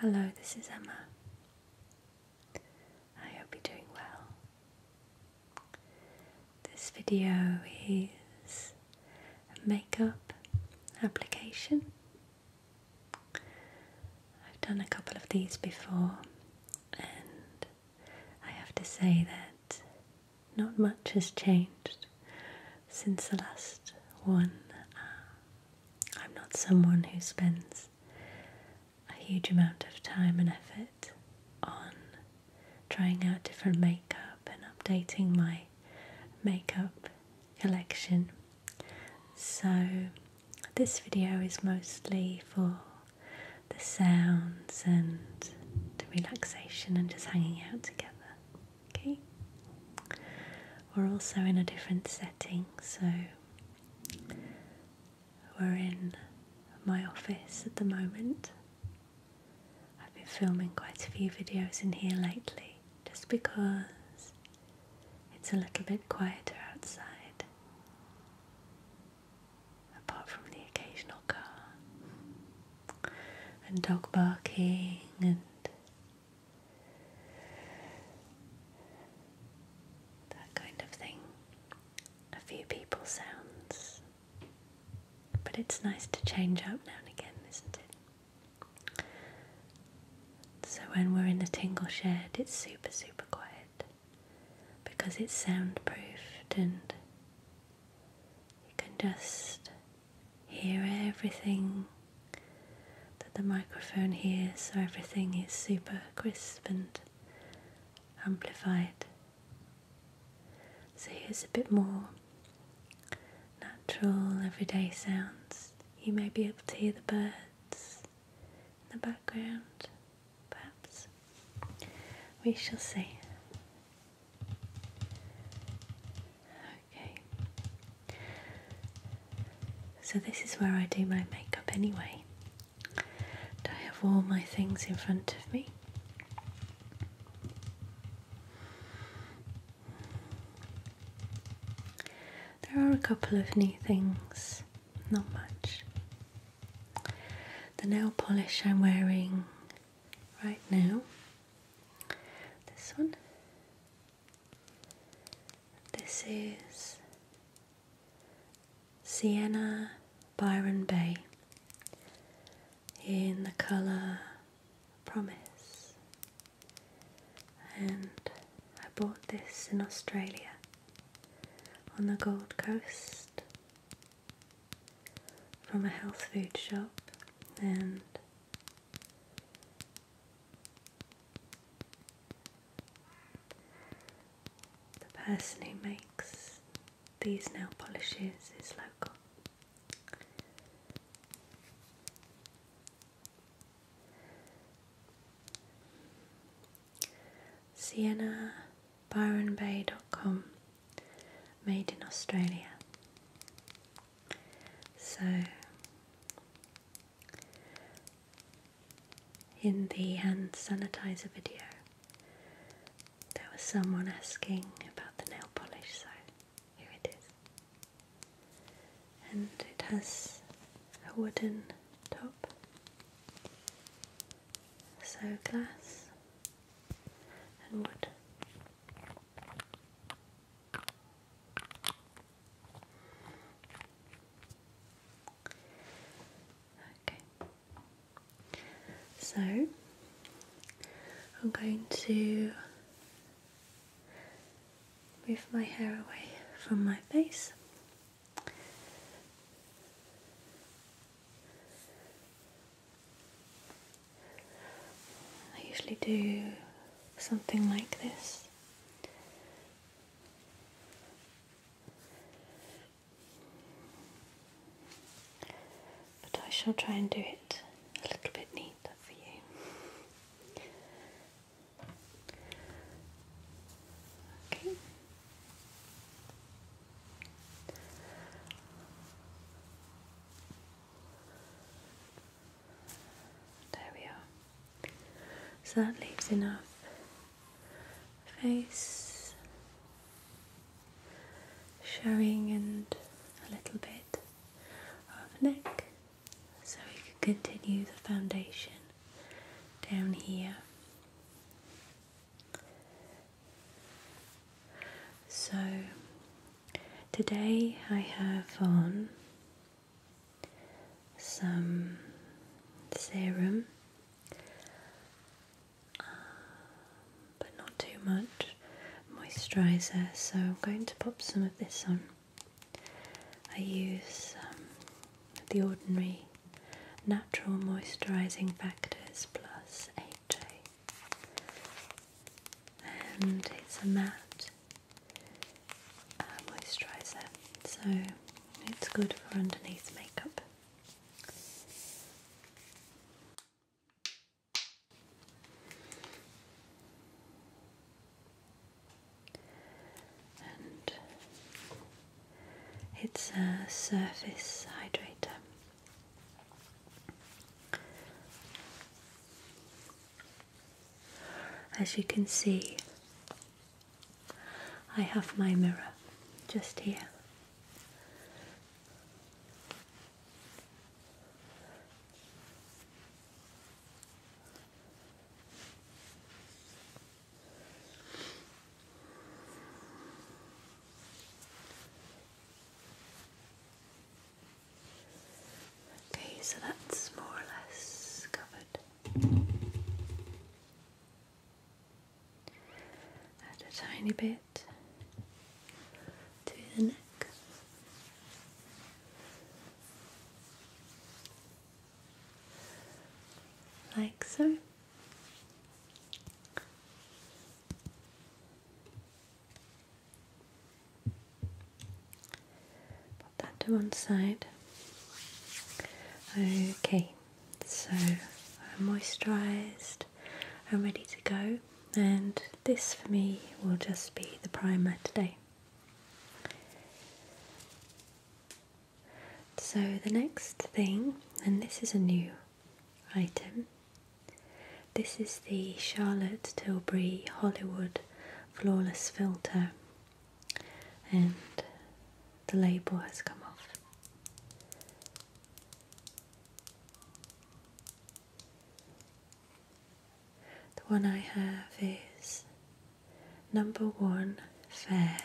Hello, this is Emma. I hope you're doing well. This video is a makeup application. I've done a couple of these before, and I have to say that not much has changed since the last one. I'm not someone who spends a huge amount of time and effort on trying out different makeup and updating my makeup collection. So, this video is mostly for the sounds and the relaxation and just hanging out together. Okay? we're also in a different setting, so we're in my office at the moment. I've been filming quite a few videos in here lately just because it's a little bit quieter outside, apart from the occasional car and dog barking and that kind of thing. A few people sounds. But it's nice to change up now and again, isn't it? So when we're in the tingle shed, it's super, super quiet because it's soundproofed and you can just hear everything that the microphone here so everything is super crisp and amplified. So here's a bit more natural everyday sounds. You may be able to hear the birds in the background, perhaps. We shall see. Okay. So, this is where I do my makeup anyway. And I have all my things in front of me. There are a couple of new things, not much. The nail polish I'm wearing right now, this one, this is Sienna Byron Bay in the colour Promise, and I bought this in Australia on the Gold Coast from a health food shop and the person who makes these nail polishes is local. Sienna Byron ByronBay.com made in Australia. So in the hand sanitizer video, there was someone asking about the nail polish, so here it is. And it has a wooden top, so glass and wood. Okay, so I'm going to move my hair away from my face. I usually do something like this but I shall try and do it a little bit neater for you. Okay. There we are. So that leaves enough face showing and a little bit of neck. So we can continue the foundation down here. So today I have on some serum, uh, but not too much moisturizer. So I'm going to pop some of this on. I use um, the ordinary natural moisturizing factors plus HA, and it's a matte uh, moisturiser, so it's good for underneath makeup. And it's a surface hydrator. As you can see, I have my mirror just here. Okay, so that's more or less covered. Add a tiny bit to the neck. Like so. Put that to one side. Okay, so I'm moisturised, I'm ready to go, and this for me will just be the primer today. So, the next thing, and this is a new item, this is the Charlotte Tilbury Hollywood Flawless Filter and the label has come off. The one I have is number one fair.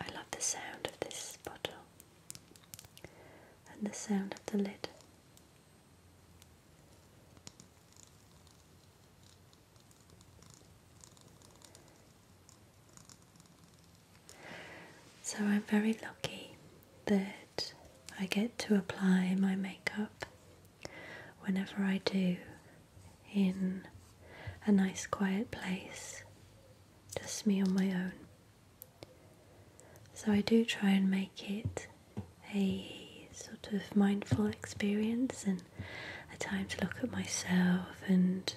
I love the sound of this bottle and the sound of the lid. So I'm very lucky that I get to apply my makeup whenever I do in a nice quiet place, just me on my own. So I do try and make it a sort of mindful experience and a time to look at myself and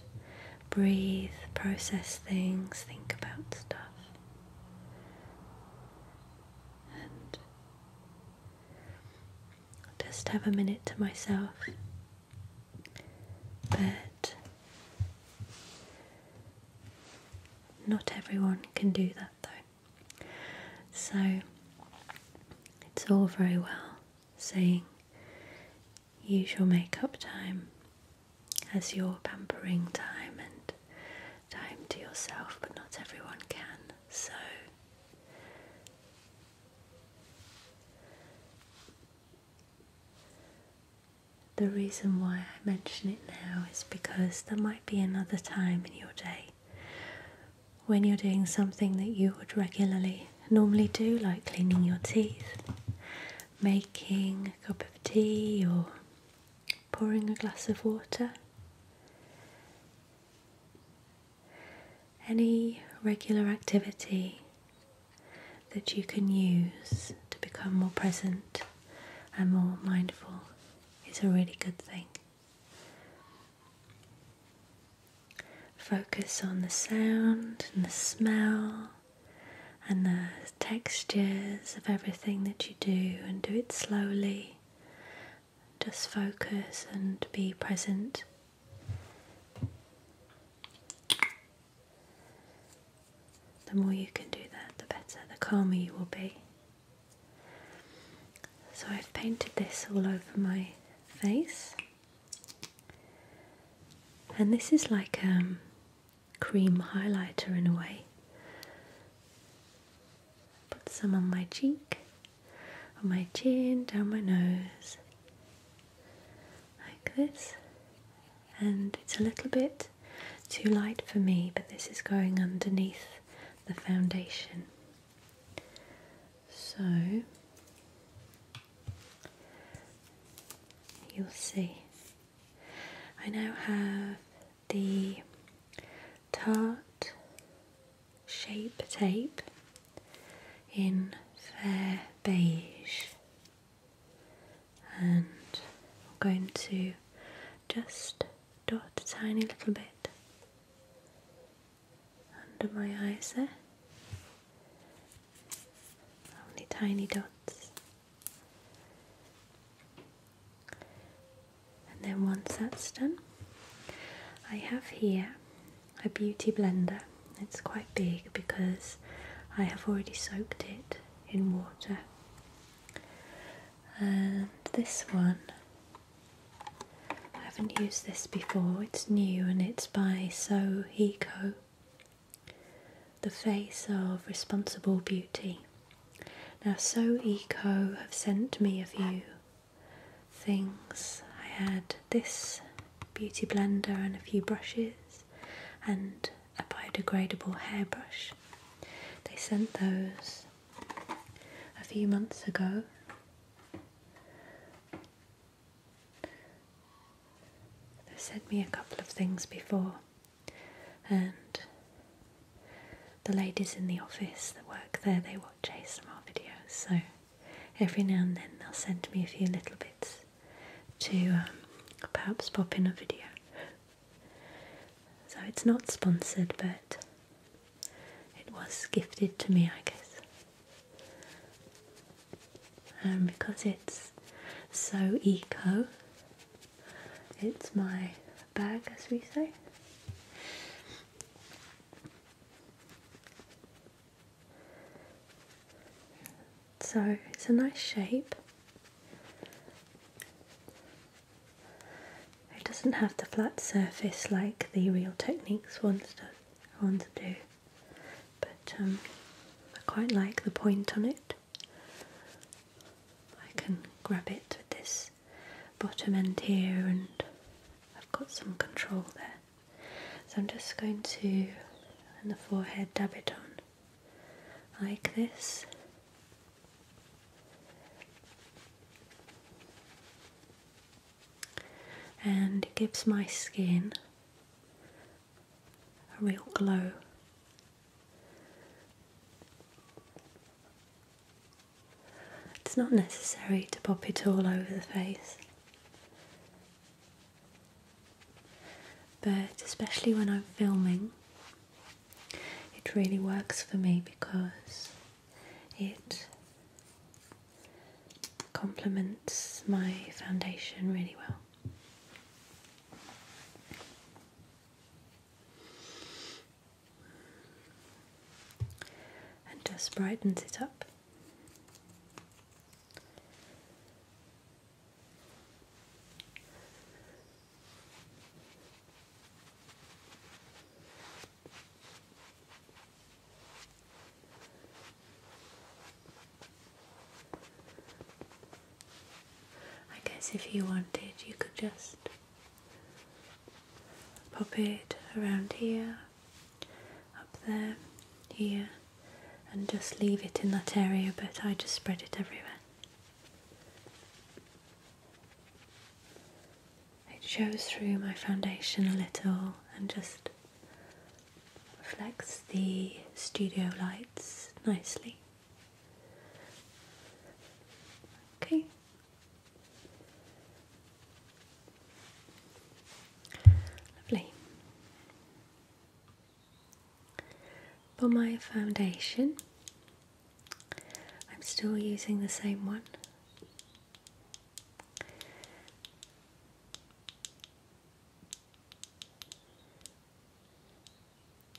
breathe, process things, think about stuff. And just have a minute to myself. But not everyone can do that though. So it's all very well saying use your makeup time as your pampering time and time to yourself, but not everyone can. So the reason why I mention it now is because there might be another time in your day when you're doing something that you would regularly normally do, like cleaning your teeth, making a cup of tea, or pouring a glass of water. Any regular activity that you can use to become more present and more mindful is a really good thing. Focus on the sound and the smell and the textures of everything that you do and do it slowly. Just focus and be present. The more you can do that, the better, the calmer you will be. So I've painted this all over my face, and this is like a um, cream highlighter in a way. Put some on my cheek, on my chin, down my nose, like this. And it's a little bit too light for me, but this is going underneath the foundation. So you'll see. I now have the Tarte Shape Tape in Fair Beige, and I'm going to just dot a tiny little bit under my eyes there. Only tiny dots. And then once that's done, I have here a beauty blender. It's quite big because I have already soaked it in water. And this one I haven't used this before, it's new and it's by So Eco, The Face of Responsible Beauty. Now So Eco have sent me a few things. I had this beauty blender and a few brushes and a biodegradable hairbrush. They sent those a few months ago. They sent me a couple of things before, and the ladies in the office that work there they watch ASMR videos, so every now and then they'll send me a few little bits to um, perhaps pop in a video. So it's not sponsored, but it was gifted to me, I guess. And because it's so eco, it's my bag, as we say. So it's a nice shape. It doesn't have the flat surface like the Real Techniques I want to do. but um, I quite like the point on it. I can grab it with this bottom end here and I've got some control there. So I'm just going to, in the forehead, dab it on like this and it gives my skin a real glow. It's not necessary to pop it all over the face, but especially when I'm filming, it really works for me because it complements my foundation really well. And just brightens it up. I guess if you wanted, you could just pop it around here, up there, here, and just leave it in that area, but I just spread it everywhere it shows through my foundation a little and just reflects the studio lights nicely. Okay. Lovely. For my foundation, I'm still using the same one.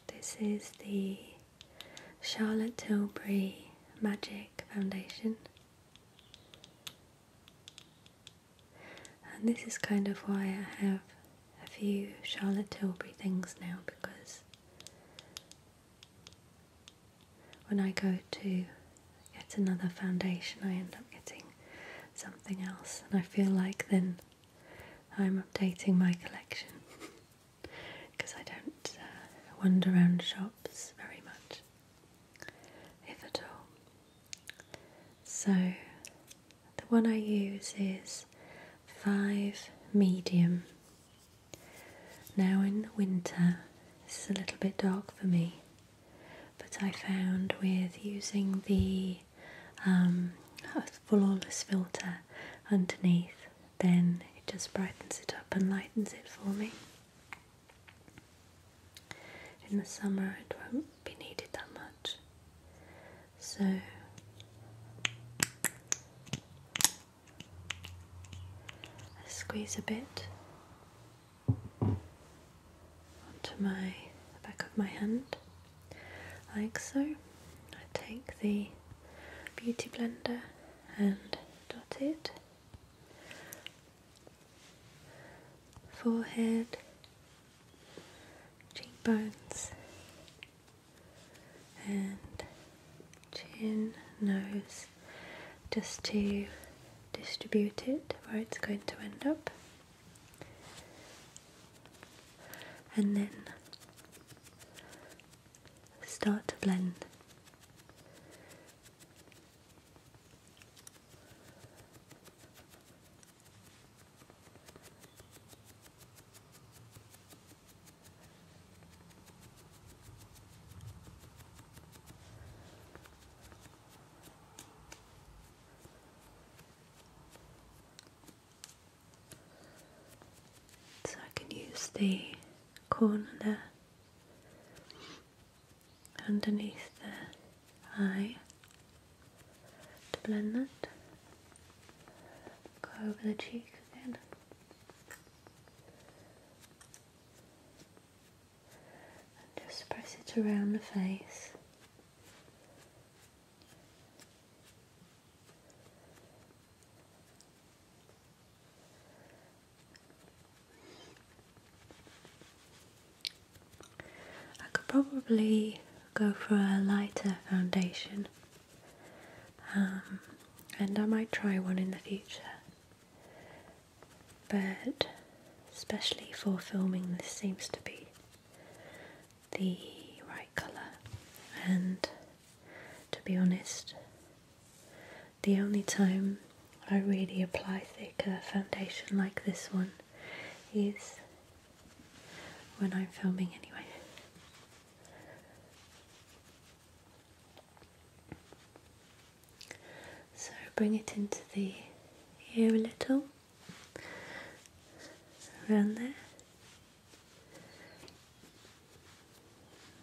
This is the Charlotte Tilbury Magic Foundation. And this is kind of why I have a few Charlotte Tilbury things now because when I go to yet another foundation, I end up getting something else, and I feel like then I'm updating my collection because I don't uh, wander around shops very much, if at all. So, the one I use is 5 medium now in the winter, this is a little bit dark for me, but I found with using the um, flawless filter underneath, then it just brightens it up and lightens it for me. In the summer, it won't be needed that much. So squeeze a bit onto my back of my hand like so. I take the beauty blender and dot it forehead, cheekbones and chin, nose, just to distribute it where it's going to end up. And then start to blend. So I can use the corner there underneath the eye to blend that. Go over the cheek again just press it around the face. I could probably go for a lighter foundation um, and I might try one in the future but especially for filming this seems to be the right colour and to be honest the only time I really apply thicker foundation like this one is when I'm filming anyway so bring it into the ear a little, around there,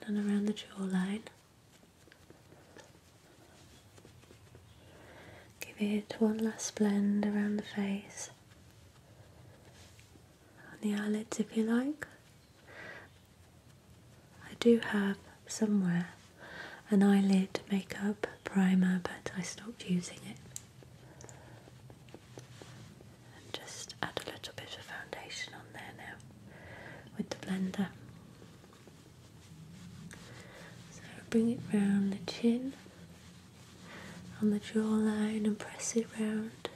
and around the jawline. Give it one last blend around the face, on the eyelids if you like. I do have somewhere an eyelid makeup primer, but I stopped using it. just add a little bit of foundation on there now with the blender. So bring it round the chin, on the jawline, and press it round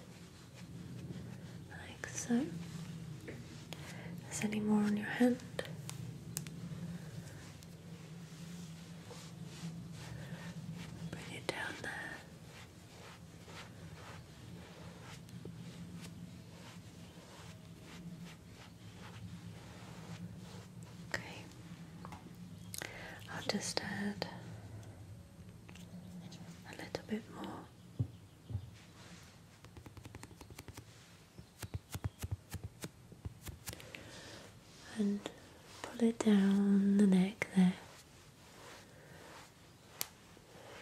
like so. Is any more on your hand? Bring it down there. Okay, I'll just add a little bit more and pull it down the neck there.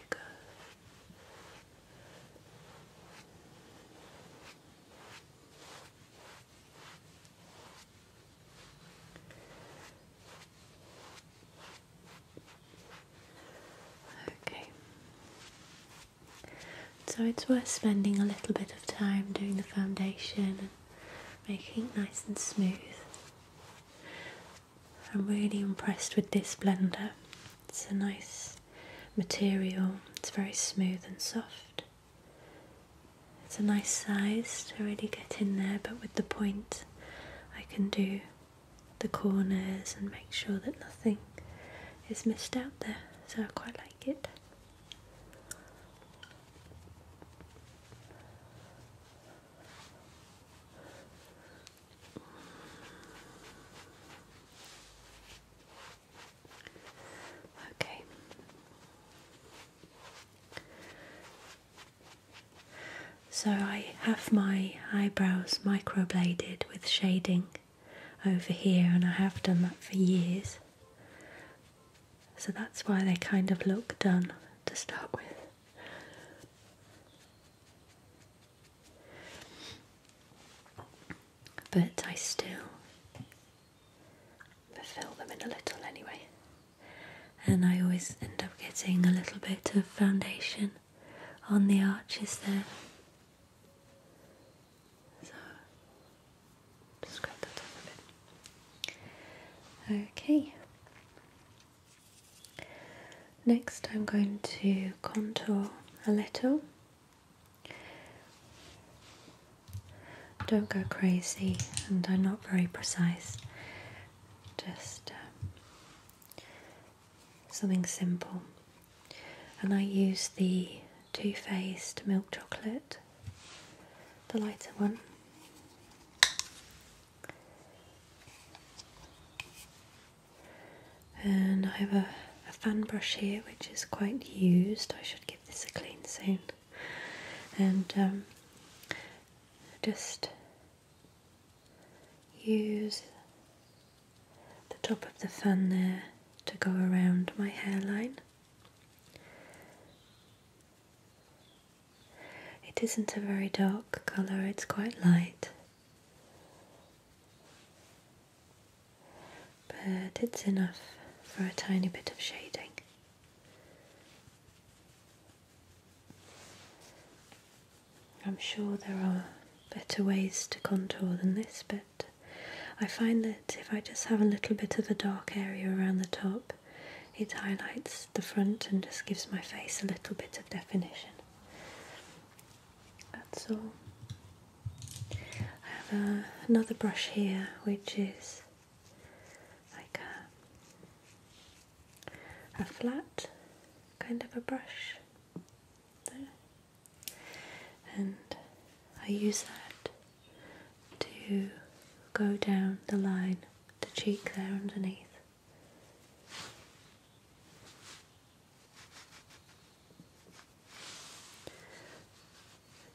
there go. Okay. So it's worth spending a little bit of time doing the foundation and making it nice and smooth. I'm really impressed with this blender. It's a nice material, it's very smooth and soft. It's a nice size to really get in there, but with the point I can do the corners and make sure that nothing is missed out there. So I quite like it. Okay. So I have my eyebrows microbladed with shading over here, and I have done that for years. So that's why they kind of look done to start with. But I still fill them in a little anyway. And I always end up getting a little bit of foundation on the arches there. So just scrape that off a bit. Okay. Next, I'm going to contour a little. Don't go crazy, and I'm not very precise. Just um, something simple. And I use the Too Faced milk chocolate, the lighter one. And I have a, a fan brush here which is quite used. I should give this a clean soon. And um, just use the top of the fan there to go around my hairline. It isn't a very dark colour, it's quite light, but it's enough for a tiny bit of shading. I'm sure there are better ways to contour than this, but I find that if I just have a little bit of a dark area around the top, it highlights the front and just gives my face a little bit of definition. That's all. I have uh, another brush here which is like a, a flat kind of a brush. There. And I use that to go down the line, the cheek there underneath.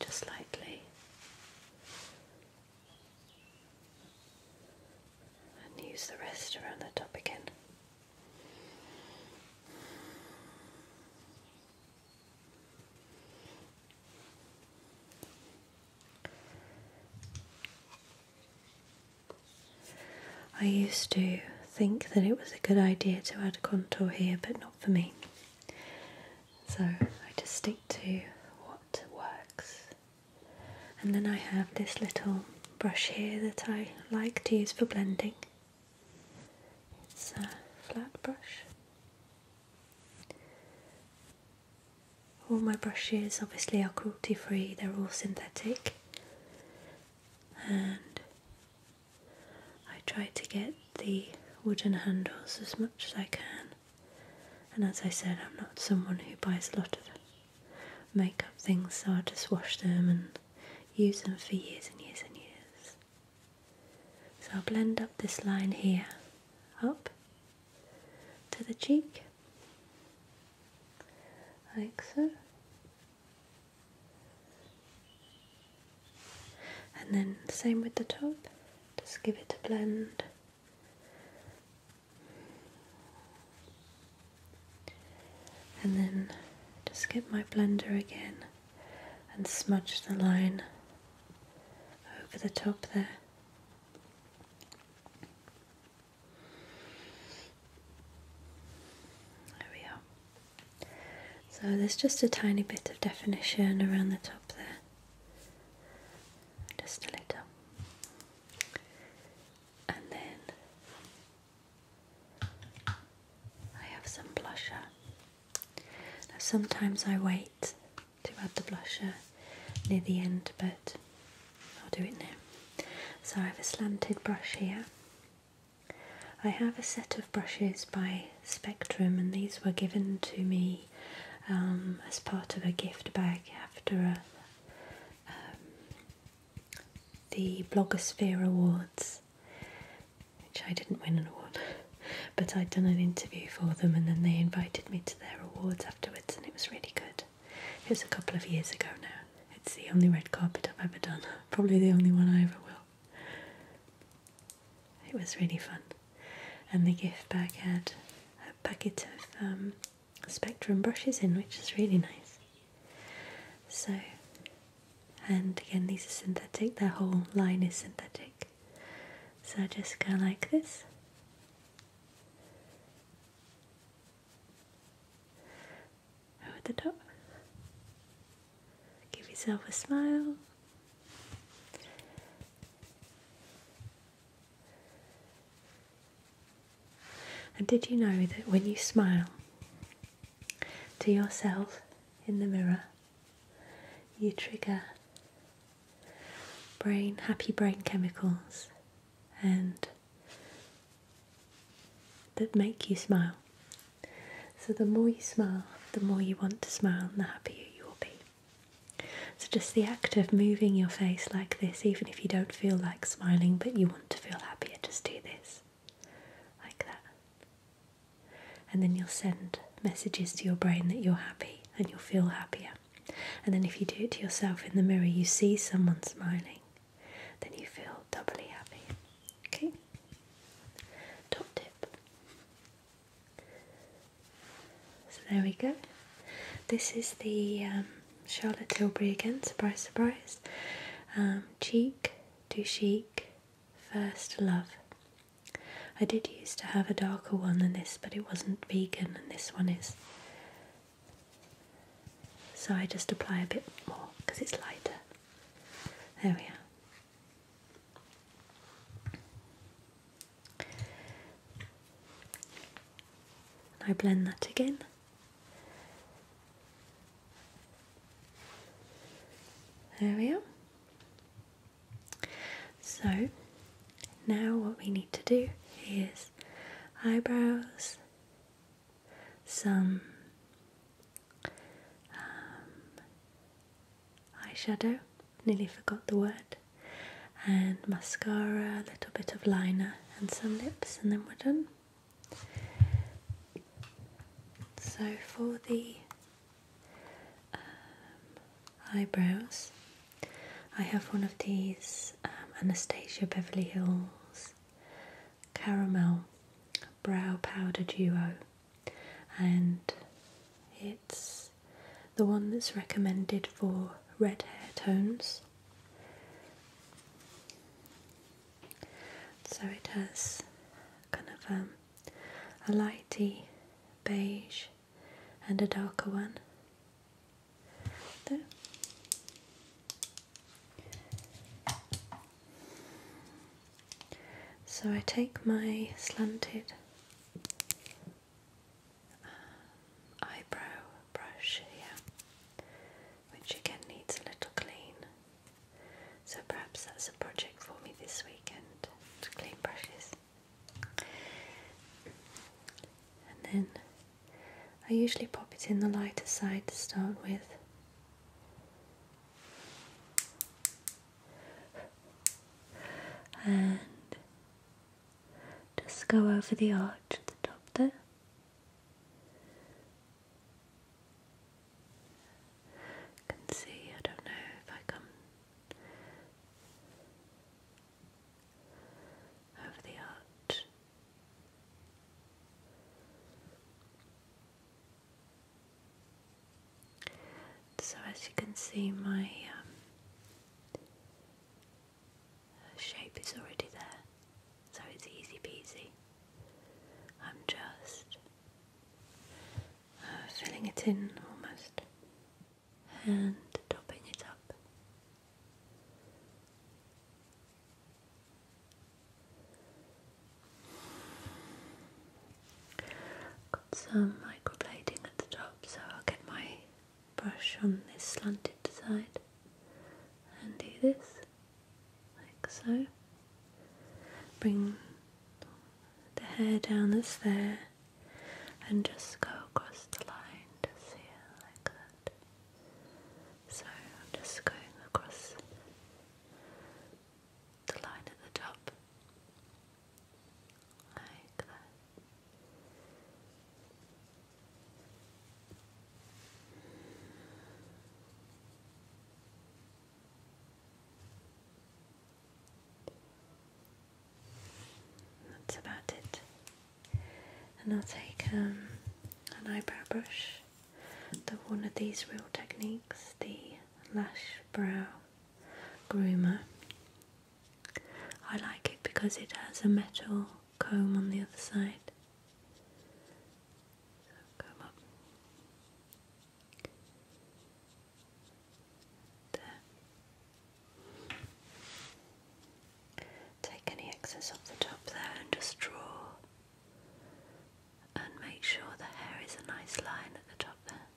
Just lightly. And use the rest around the top again. I used to think that it was a good idea to add contour here, but not for me. So I just stick to what works. And then I have this little brush here that I like to use for blending. It's a flat brush. All my brushes obviously are cruelty free, they're all synthetic, and I try to get the wooden handles as much as I can. And as I said, I'm not someone who buys a lot of makeup things, so I just wash them and use them for years and years and years. So I'll blend up this line here, up to the cheek, like so. And then same with the top, just give it a blend. And then just get my blender again and smudge the line over the top there. There we are. So there's just a tiny bit of definition around the top there. Just a little. And then I have some blusher. sometimes I wait to add the blusher near the end, but I'll do it now. So, I have a slanted brush here. I have a set of brushes by Spectrum, and these were given to me um, as part of a gift bag after a, um, the Blogosphere Awards which I didn't win an award, but I'd done an interview for them and then they invited me to their awards afterwards, and it was really good. It was a couple of years ago now. It's the only red carpet I've ever done, probably the only one I ever will. It was really fun, and the gift bag had a packet of um, Spectrum brushes in, which is really nice. So and again these are synthetic, their whole line is synthetic. So just go like this. Over the top. Give yourself a smile. And did you know that when you smile to yourself in the mirror, you trigger brain happy brain chemicals and that make you smile. So the more you smile, the more you want to smile and the happier you will be. So just the act of moving your face like this, even if you don't feel like smiling but you want to feel happier, just do this like that. And then you'll send messages to your brain that you're happy and you'll feel happier. And then if you do it to yourself in the mirror, you see someone smiling, then you feel doubly happy. Okay? Top tip. So there we go. This is the um, Charlotte Tilbury again, surprise, surprise. Um, cheek to cheek. First Love. I did used to have a darker one than this, but it wasn't vegan, and this one is. So I just apply a bit more because it's lighter. There we are. And I blend that again. There we are. So now what we need to do is eyebrows, some um, eyeshadow, nearly forgot the word, and mascara, a little bit of liner and some lips and then we're done. So for the um, eyebrows. I have one of these um, Anastasia Beverly Hills Caramel Brow Powder Duo, and it's the one that's recommended for red hair tones. So it has kind of um, a lighty beige and a darker one So I take my slanted um, eyebrow brush here, which again needs a little clean. So perhaps that's a project for me this weekend to clean brushes. And then I usually pop it in the lighter side to start with. And just go over the arch at the top there can see, I don't know if I come over the arch. So, as you can see, my um, shape is already there, so it's easy peasy. I'm just filling it in almost and topping it up. Got some microblading at the top, so I'll get my brush on this slanted side and do this like so. Bring the hair down that's there and just go across the line to see it like that. So I'm just going across the line at the top like that. That's about it. And I'll take um, an eyebrow brush, the one of these real techniques, the lash brow groomer. I like it because it has a metal comb on the other side. comb up. Take any excess off the top there and just draw and make sure the hair is a nice line at the top there.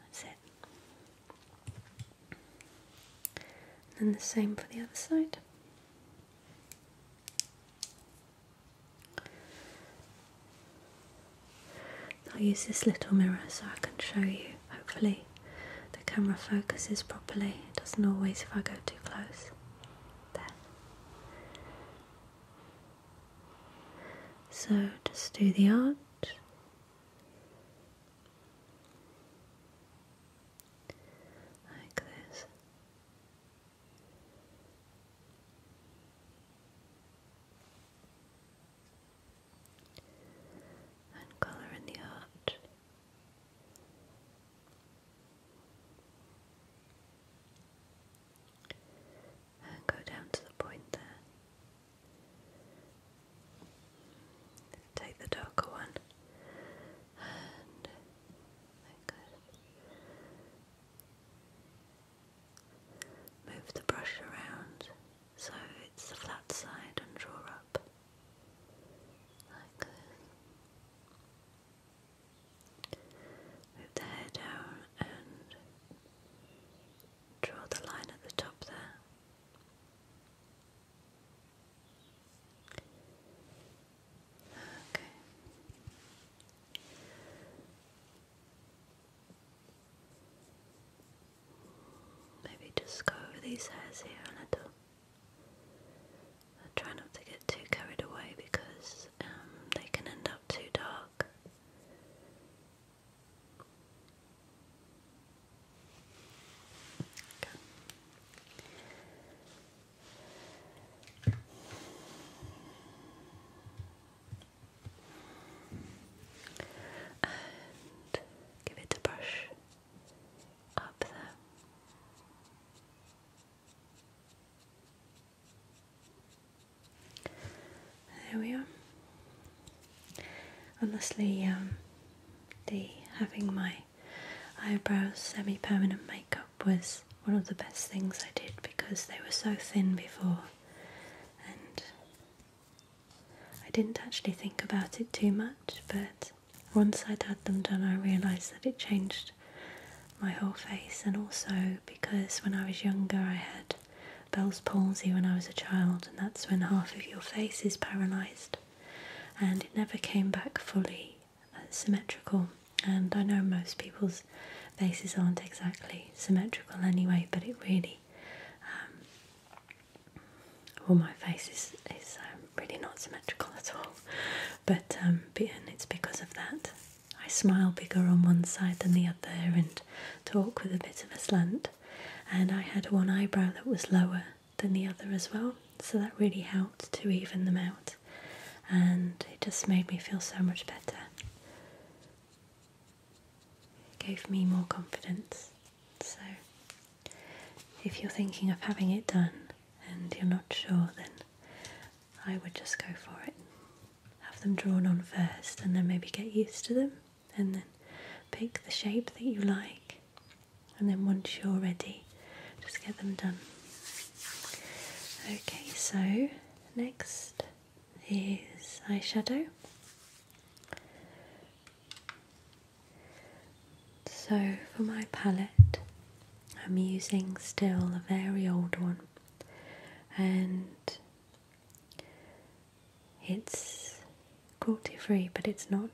That's it. And the same for the other side. I'll use this little mirror so I can show you. Hopefully, the camera focuses properly. It doesn't always if I go too close. There. So just do the arch. Like this and colour in the heart. And go down to the point there. Take the darker one and like Move the brush around so it's the flat side and draw up Move the hair down and draw the line at the top there. Okay. Maybe just go over these hairs here a little. I try not to get too carried away because um, they can end up too dark and give it a brush up there. There we are. Honestly, um, the having my eyebrows semi-permanent makeup was one of the best things I did because they were so thin before, and I didn't actually think about it too much, but once I'd had them done, I realised that it changed my whole face, and also because when I was younger, I had Bell's palsy when I was a child, and that's when half of your face is paralysed, and it never came back fully uh, symmetrical. And I know most people's faces aren't exactly symmetrical anyway, but it really well, um, my face is is um, really not symmetrical at all, but um, it's because of that. I smile bigger on one side than the other, and talk with a bit of a slant. And I had one eyebrow that was lower than the other as well, so that really helped to even them out, and it just made me feel so much better gave me more confidence. So, if you're thinking of having it done and you're not sure, then I would just go for it. Have them drawn on first and then maybe get used to them and then pick the shape that you like. And then once you're ready, just get them done. Okay, so next is eyeshadow. So for my palette, I'm using still a very old one, and it's cruelty free, but it's not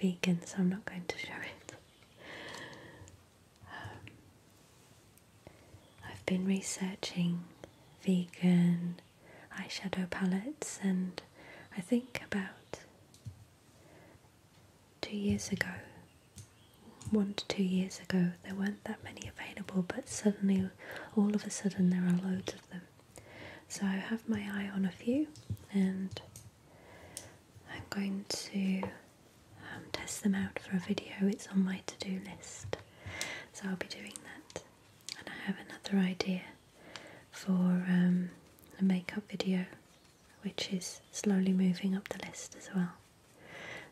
vegan, so I'm not going to show it. Um, I've been researching vegan eyeshadow palettes and I think about two years ago, one to two years ago, there weren't that many available but suddenly, all of a sudden there are loads of them. So I have my eye on a few and I'm going to um, test them out for a video, it's on my to-do list. So I'll be doing that and I have another idea for um, a makeup video which is slowly moving up the list as well.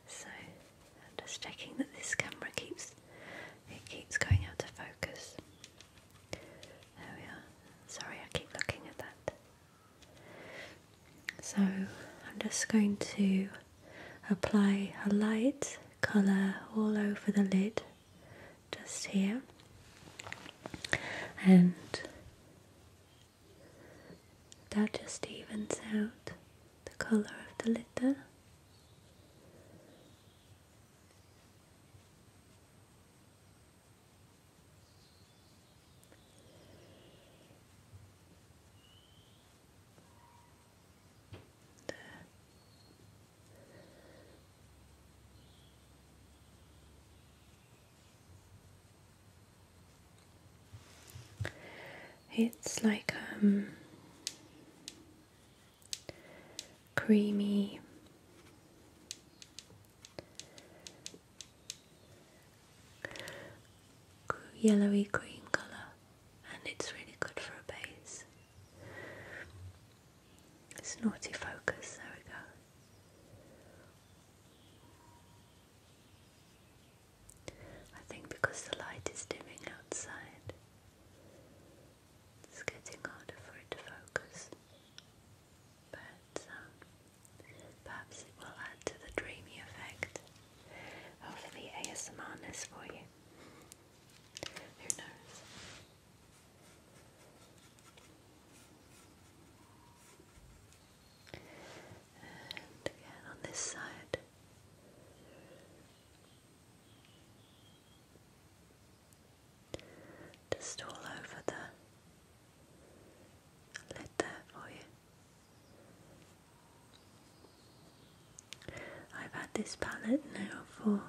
So I'm just checking that this camera keeps it keeps going out of focus. There we are. Sorry, I keep looking at that. So I'm just going to apply a light colour all over the lid just here and that just evens out the colour of the lid it's like um, creamy yellowy green colour and it's really good for a base. It's naughty focus, there we go. I think because the light is dimming outside, it's getting harder for it to focus. But um, perhaps it will add to the dreamy effect of ASMRness for you. Who again on this side. Just all over the lid there for you. I've had this palette now for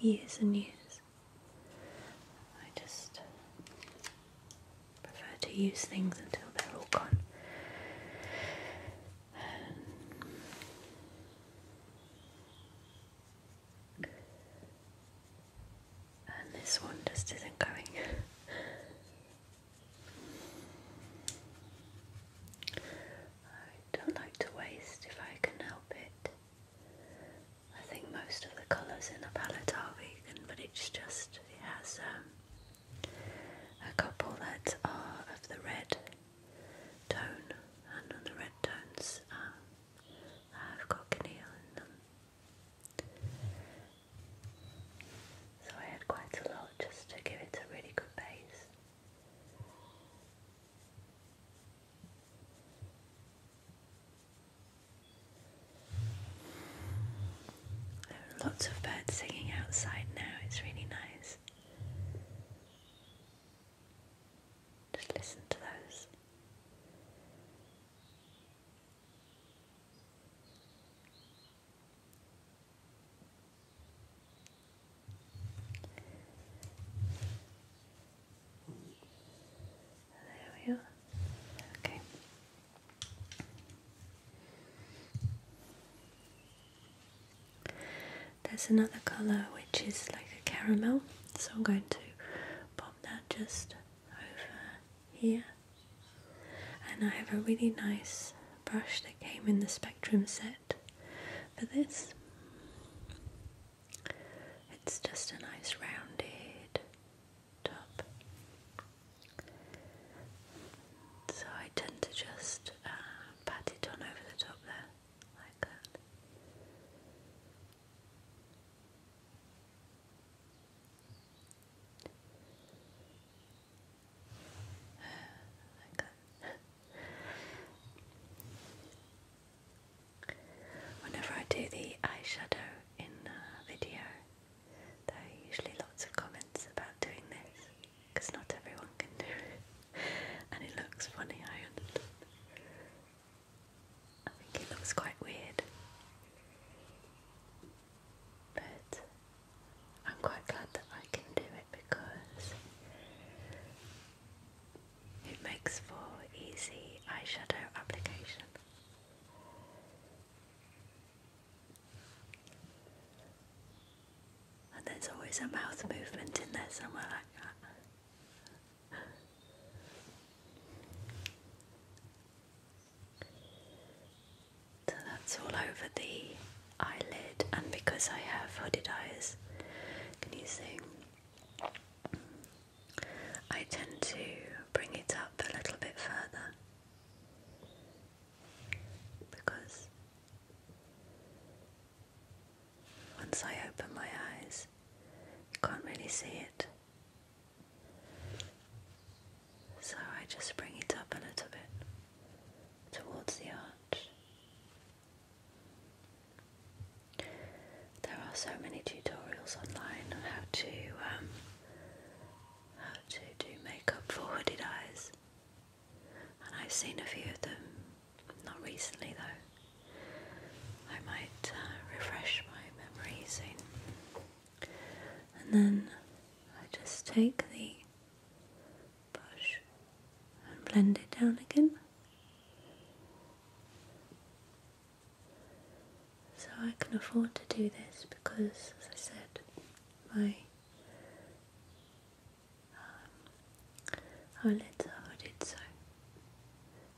years and years. I just prefer to use things until they're all gone. and this one just isn't going. I don't like to waste if I can help it. I think most of the colours in the palette are vegan, but it's just, it has um, a couple that are of the red tone, and on the red tones um, have got cochineal in them. So I had quite a lot just to give it a really good base lots of birds singing outside now, it's really nice. Just listen to those. There we are. Okay. There's another colour which is like a caramel, so I'm going to pop that just over here. And I have a really nice brush that came in the Spectrum set for this. It's just a nice rounded top. So I tend to just uh, pat it on over the top there, like that. Whenever I do the eyeshadow in a video, there are usually lots of comments about doing this because not everyone can do it and it looks funny, I I think it looks quite weird. But I'm quite glad that I can do it because it makes for easy eyeshadow application. And there's always a mouth movement in there somewhere like that. So that's all over the eyelid, and because I have hooded eyes, can you see? I tend to bring it up a little bit further because once I open my eyes, you can't really see it. So I just bring it up a little bit towards the arch. There are so many tutorials online on how to um, how to do makeup for hooded eyes, and I've seen a few of them. Not recently though. I might uh, refresh my memories soon. And then I just take the brush and blend it down again. So I can afford to do this because, as I said, my um, eyelids are hooded, so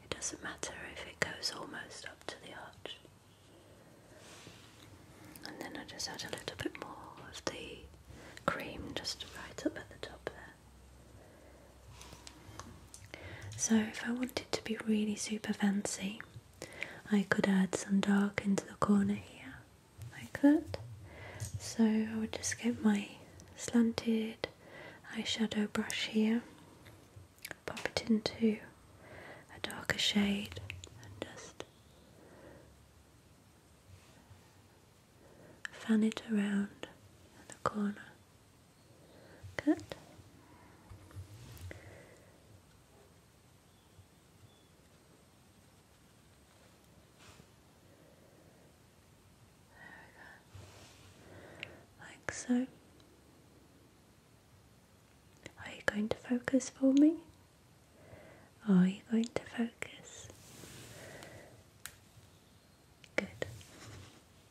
it doesn't matter if it goes almost up to the arch. And then I just add a little bit more of the cream just right up at the top there. So, if I wanted to be really super fancy, I could add some dark into the corner here, like that. So, I would just get my slanted eyeshadow brush here, pop it into a darker shade, and just fan it around in the corner. Good. There we go. Like so. Are you going to focus for me? are you going to focus? Good.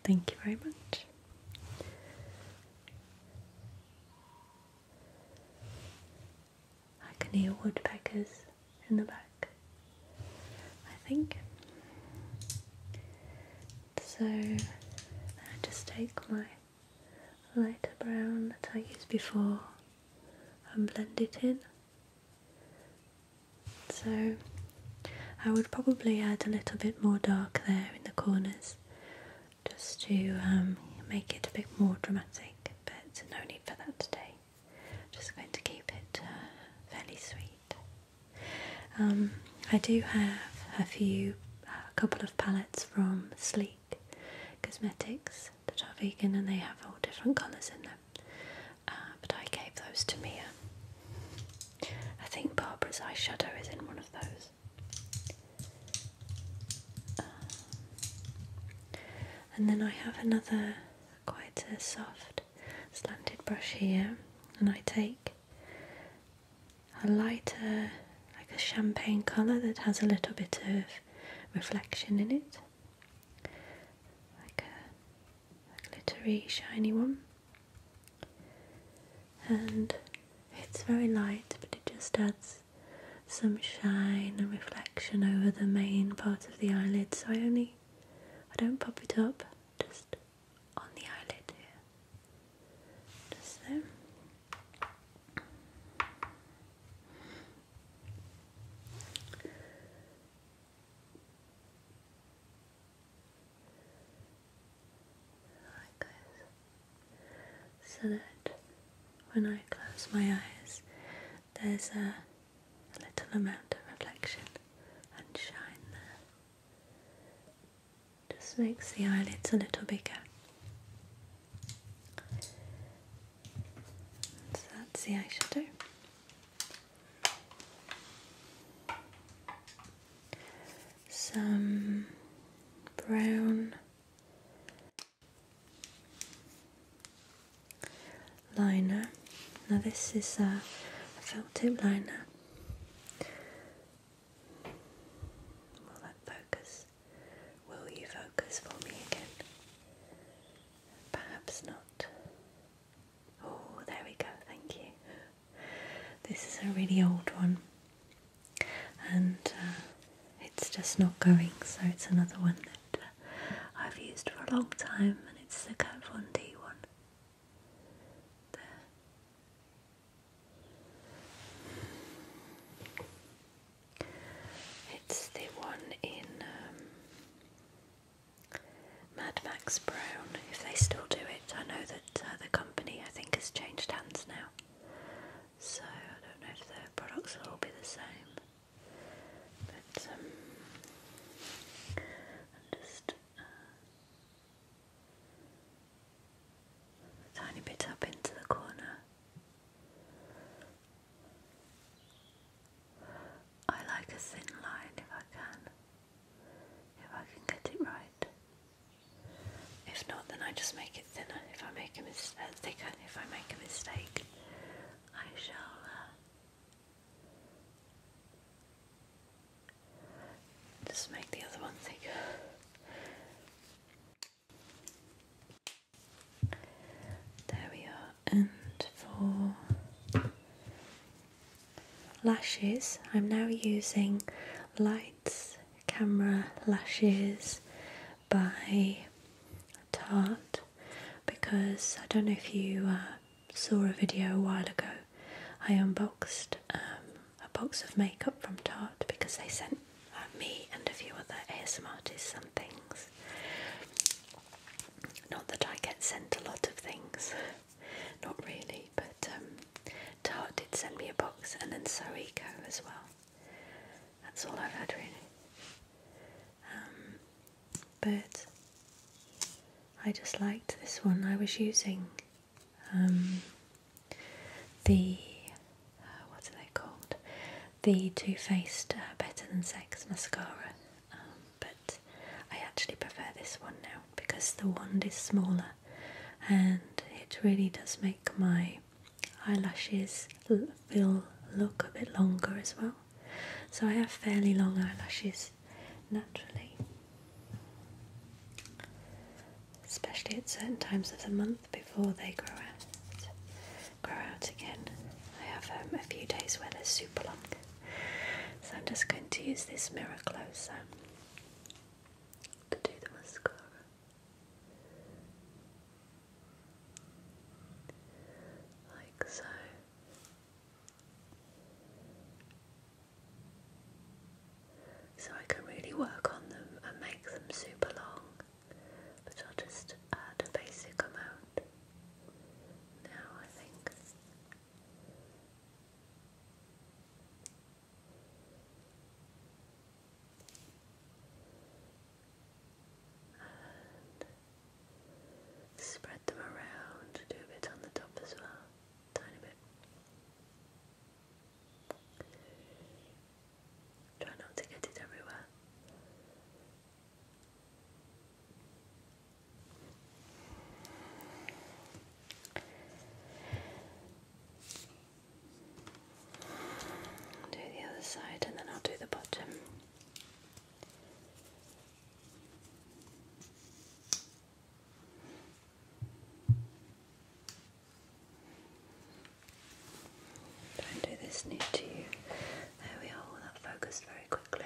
Thank you very much. I can hear woodpeckers in the back, I think. So I just take my lighter brown that I used before and blend it in. So I would probably add a little bit more dark there in the corners just to um, make it a bit more dramatic, but no need for that today. Just going to keep it uh, fairly sweet. Um, I do have a few, a couple of palettes from Sleek Cosmetics that are vegan and they have all different colours in them. Uh, but I gave those to Mia. I think Barbara's eyeshadow is in one of those. Uh, and then I have another quite a soft slanted brush here, and I take a lighter, like a champagne colour that has a little bit of reflection in it, like a a glittery shiny one and it's very light but it just adds some shine and reflection over the main part of the eyelid so I only I don't pop it up just on the eyelid here just so so that when I close my eyes, there's a, little amount of reflection and shine there. Just makes the eyelids a little bigger. So that's the eye shadow some brown liner. Now, this is a felt tip liner. Will that focus? Will you focus for me again? Perhaps not. Oh, there we go, thank you. This is a really old one and uh, it's just not going, so it's another one that uh, I've used for a long time and it's the Kat Von D one. There. It's the one in um, Mad Max Brown, if they still do it. I know that uh, the company, I think, has changed hands now. So I don't know if their products will all be the same. But, um, just uh, tiny bit up into the corner. I like a thin line if I can if I can get it right. If not, then I just make it thinner. If I make a mis uh, if I make a mistake, I shall uh, just make the other one thicker. There we are, and for lashes. I'm now using Lights Camera Lashes by Tarte because I don't know if you uh, saw a video a while ago. I unboxed um, a box of makeup from Tarte because they sent uh, me and a few other ASM artists some things. Not that I get sent a lot of things. not really, but um, did send me a box, and then So Eco as well. That's all I've had really. Um, but I just liked this one. I was using um, the uh, what are they called? The Too Faced uh, Better Than Sex mascara, um, but I actually prefer this one now because the wand is smaller and it really does make my eyelashes feel look a bit longer as well. So I have fairly long eyelashes naturally, especially at certain times of the month before they grow out. Grow out again. I have um, a few days where they're super long, so I'm just going to use this mirror closer to do the mascara. Like so. So I can really work on them and make them super long, but I'll just add a basic amount now, I think spread them around, do a bit on the top as well, tiny bit. Try not to get it everywhere. Do the other side and then I'll do the bottom. Don't do this near to you. There we are, well, that focused very quickly.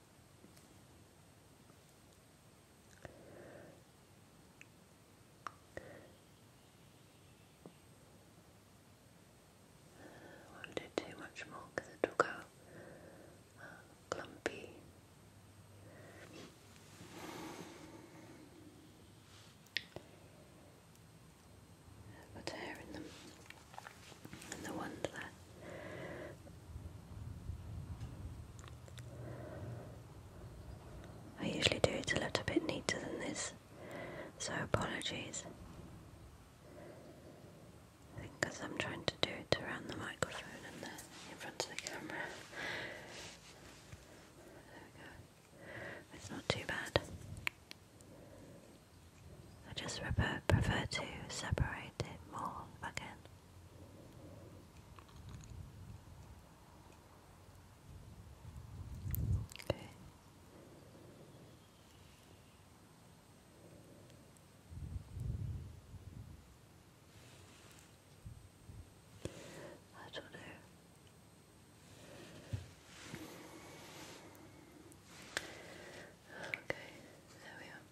I won't do too much more because it'll go uh, clumpy. Put hair in them, and the one left. I usually do it a little bit neater than this, so apologies. I think because I'm trying to do it around the microphone and in front of the camera. There we go. It's not too bad. I just prefer, prefer to separate it more if Okay. That'll do. Okay, there we are.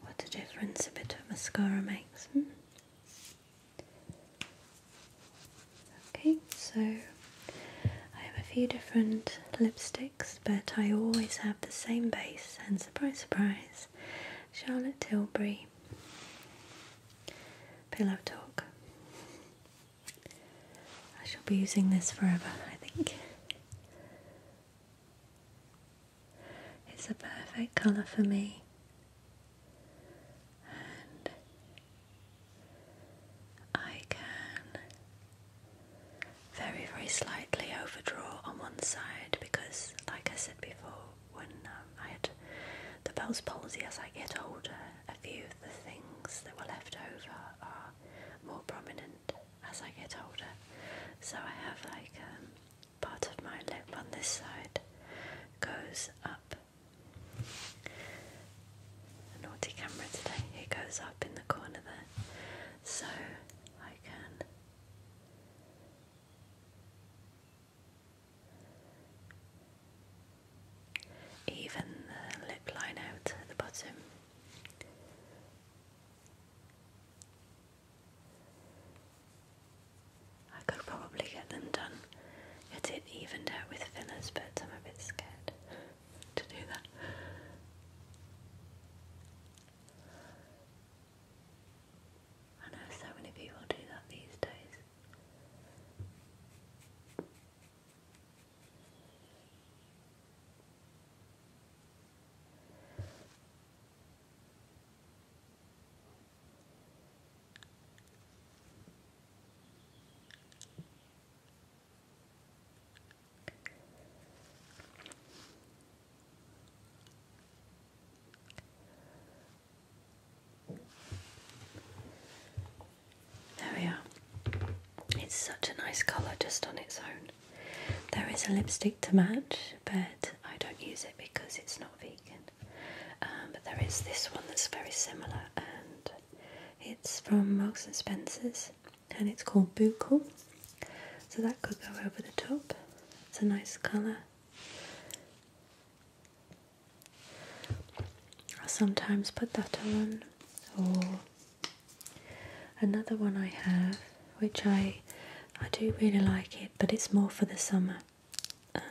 What a difference a bit of mascara makes. Hmm? Okay, so I have a few different lipsticks, but I always have the same base, and surprise, surprise, Charlotte Tilbury Pillow Talk. I shall be using this forever, I think. It's a perfect colour for me. And I can very, very slightly overdraw on one side because, like I said before, when um, I had the Bell's palsy as I get older, a few of the things that were left over are more prominent as I get older. So I have like um, part of my lip on this side goes up. naughty camera today, it goes up in the corner there. So I can even the lip line out at the bottom. I could probably get them done, get it evened out with fillers, but I'm a bit scared to do that. I know so many people do that these days. There we are. It's such a nice colour just on its own. There is a lipstick to match, but I don't use it because it's not vegan. Um, but there is this one that's very similar, and it's from Marks and Spencer's, and it's called Buckle. So that could go over the top. It's a nice colour. I sometimes put that on, or Another one I have, which I I do really like it, but it's more for the summer. Um,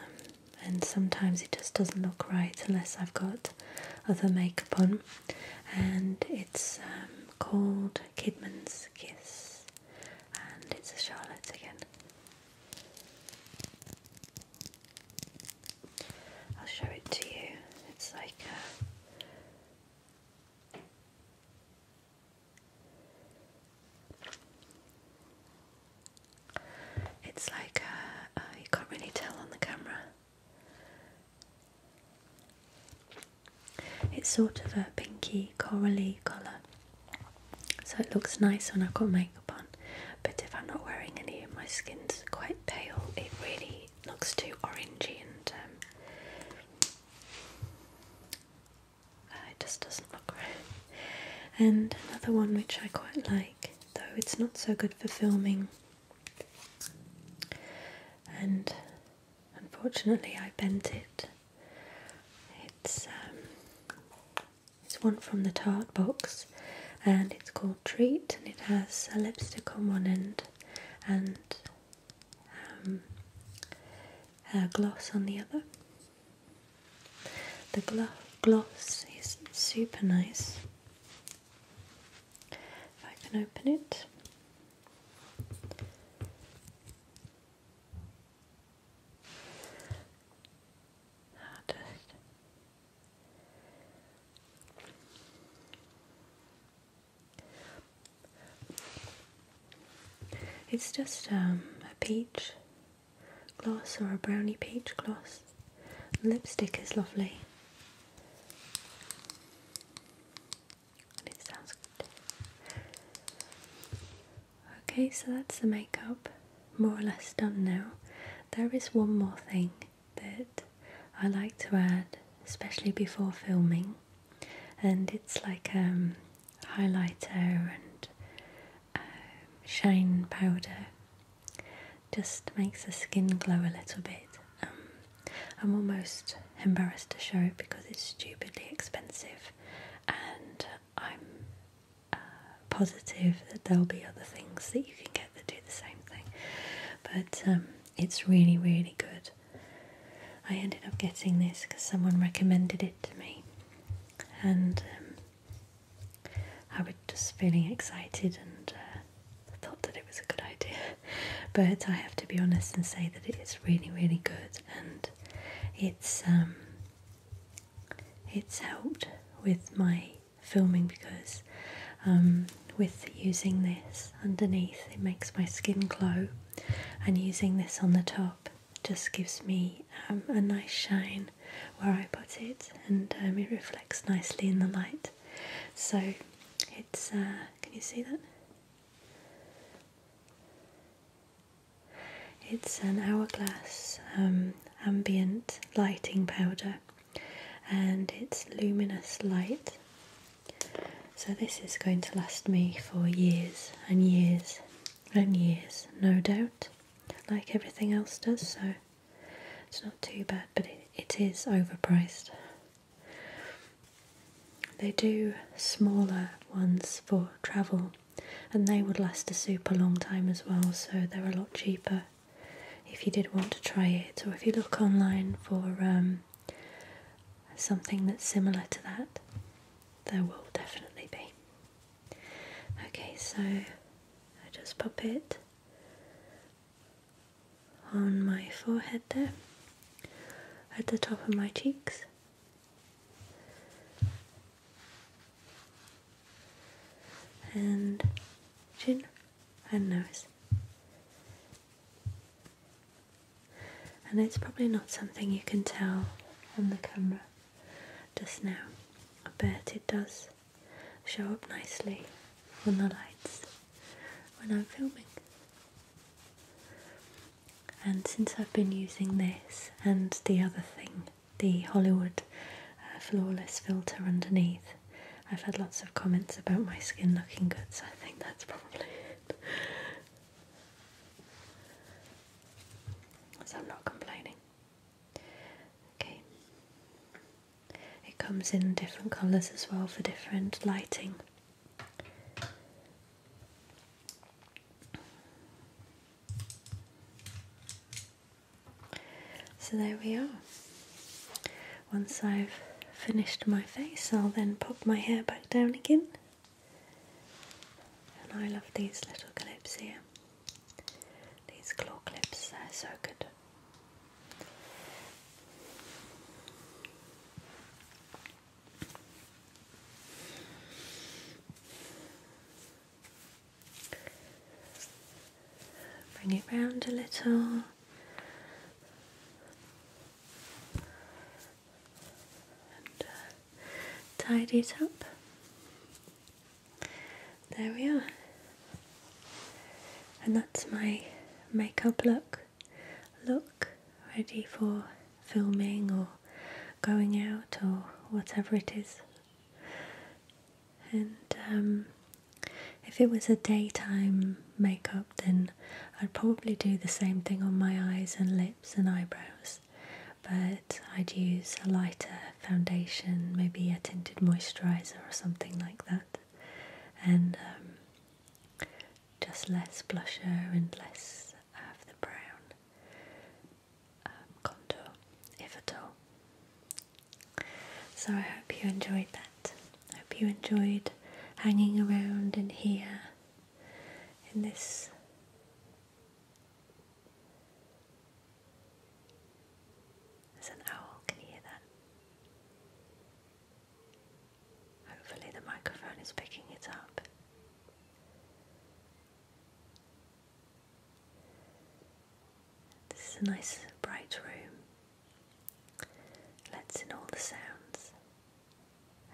and sometimes it just doesn't look right unless I've got other makeup on. And it's um, called Kidman's Kiss, and it's a Charlotte again. I'll show it to you. It's like a it's like uh, uh, you can't really tell on the camera. It's sort of a pinky corally colour, so it looks nice when I've got makeup on. But if I'm not wearing any, my skin's quite pale. It really looks too orangey and um, uh, it just doesn't look right. And another one which I quite like, though it's not so good for filming, and unfortunately I bent it. It's um, it's one from the tart box, and it's called Treat, and it has a lipstick on one end and um, gloss on the other. The gloss is super nice. If I can open it. It's just um, a peach gloss or a brownie peach gloss. Lipstick is lovely. it sounds good. Okay, so that's the makeup more or less done now. There is one more thing that I like to add, especially before filming, and it's like a um, highlighter and um, shine powder. Just makes the skin glow a little bit. Um, I'm almost embarrassed to show it because it's stupidly expensive, and I'm uh, positive that there'll be other things that you can get that do the same thing. But it's really, really good. I ended up getting this because someone recommended it to me, and um, I was just feeling excited and uh, thought that it was a good idea. But I have to be honest and say that it is really, really good, and it's um, it's helped with my filming because um, with using this underneath, it makes my skin glow and using this on the top just gives me um, a nice shine where I put it and um, it reflects nicely in the light so it's uh, can you see that it's an hourglass um, ambient lighting powder and it's luminous light so this is going to last me for years and years and years, no doubt, like everything else does, so it's not too bad, but it is overpriced. They do smaller ones for travel and they would last a super long time as well, so they're a lot cheaper if you did want to try it, or if you look online for um, something that's similar to that, there will definitely be. Okay, so I just pop it on my forehead there, at the top of my cheeks. And chin and nose and it's probably not something you can tell on the camera just now, but it does show up nicely on the lights when I'm filming. And since I've been using this and the other thing, the Hollywood uh, Flawless filter underneath, I've had lots of comments about my skin looking good, so I think that's probably it. So I'm not complaining. Okay. It comes in different colours as well for different lighting. So there we are. Once I've finished my face, I'll then pop my hair back down again. And I love these little clips here. These claw clips, they're so good. Bring it round a little. Uh, tidy it up. There we are, and that's my makeup look. Look ready for filming or going out or whatever it is. And um, if it was a daytime makeup then I'd probably do the same thing on my eyes and lips and eyebrows, but I'd use a lighter foundation, maybe a tinted moisturizer or something like that, and um, just less blusher and less of the brown um, contour, if at all. So I hope you enjoyed that. hope you enjoyed hanging around in here in this there's an owl, can you hear that? Hopefully the microphone is picking it up. This is a nice bright room. Lets in all the sounds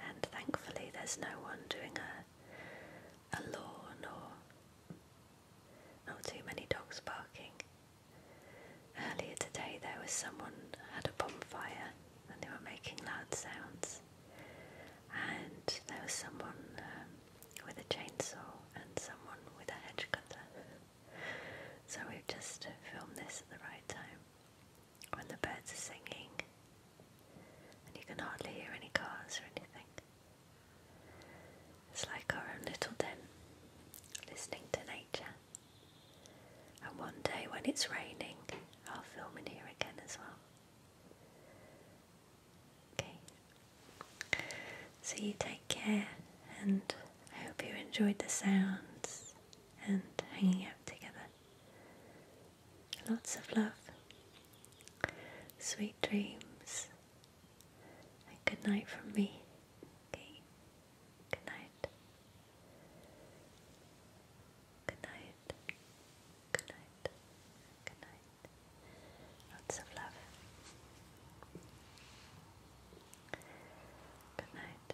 and thankfully there's no one doing a, a lawn or not too many dogs barking. Earlier today there was someone had a bonfire and they were making loud sounds and there was someone um, with a chainsaw and someone with a hedge cutter. so we've just filmed this at the right time when the birds are singing, and you can hardly hear any cars or anything. It's like our own little den, listening to nature. And one day when it's raining, I'll film in here again as well. Okay, so you take care, and I hope you enjoyed the sounds and hanging out together. Lots of love, sweet dreams, and good night from me. good night. Good night. Good night. Good night. Lots of love. Good night.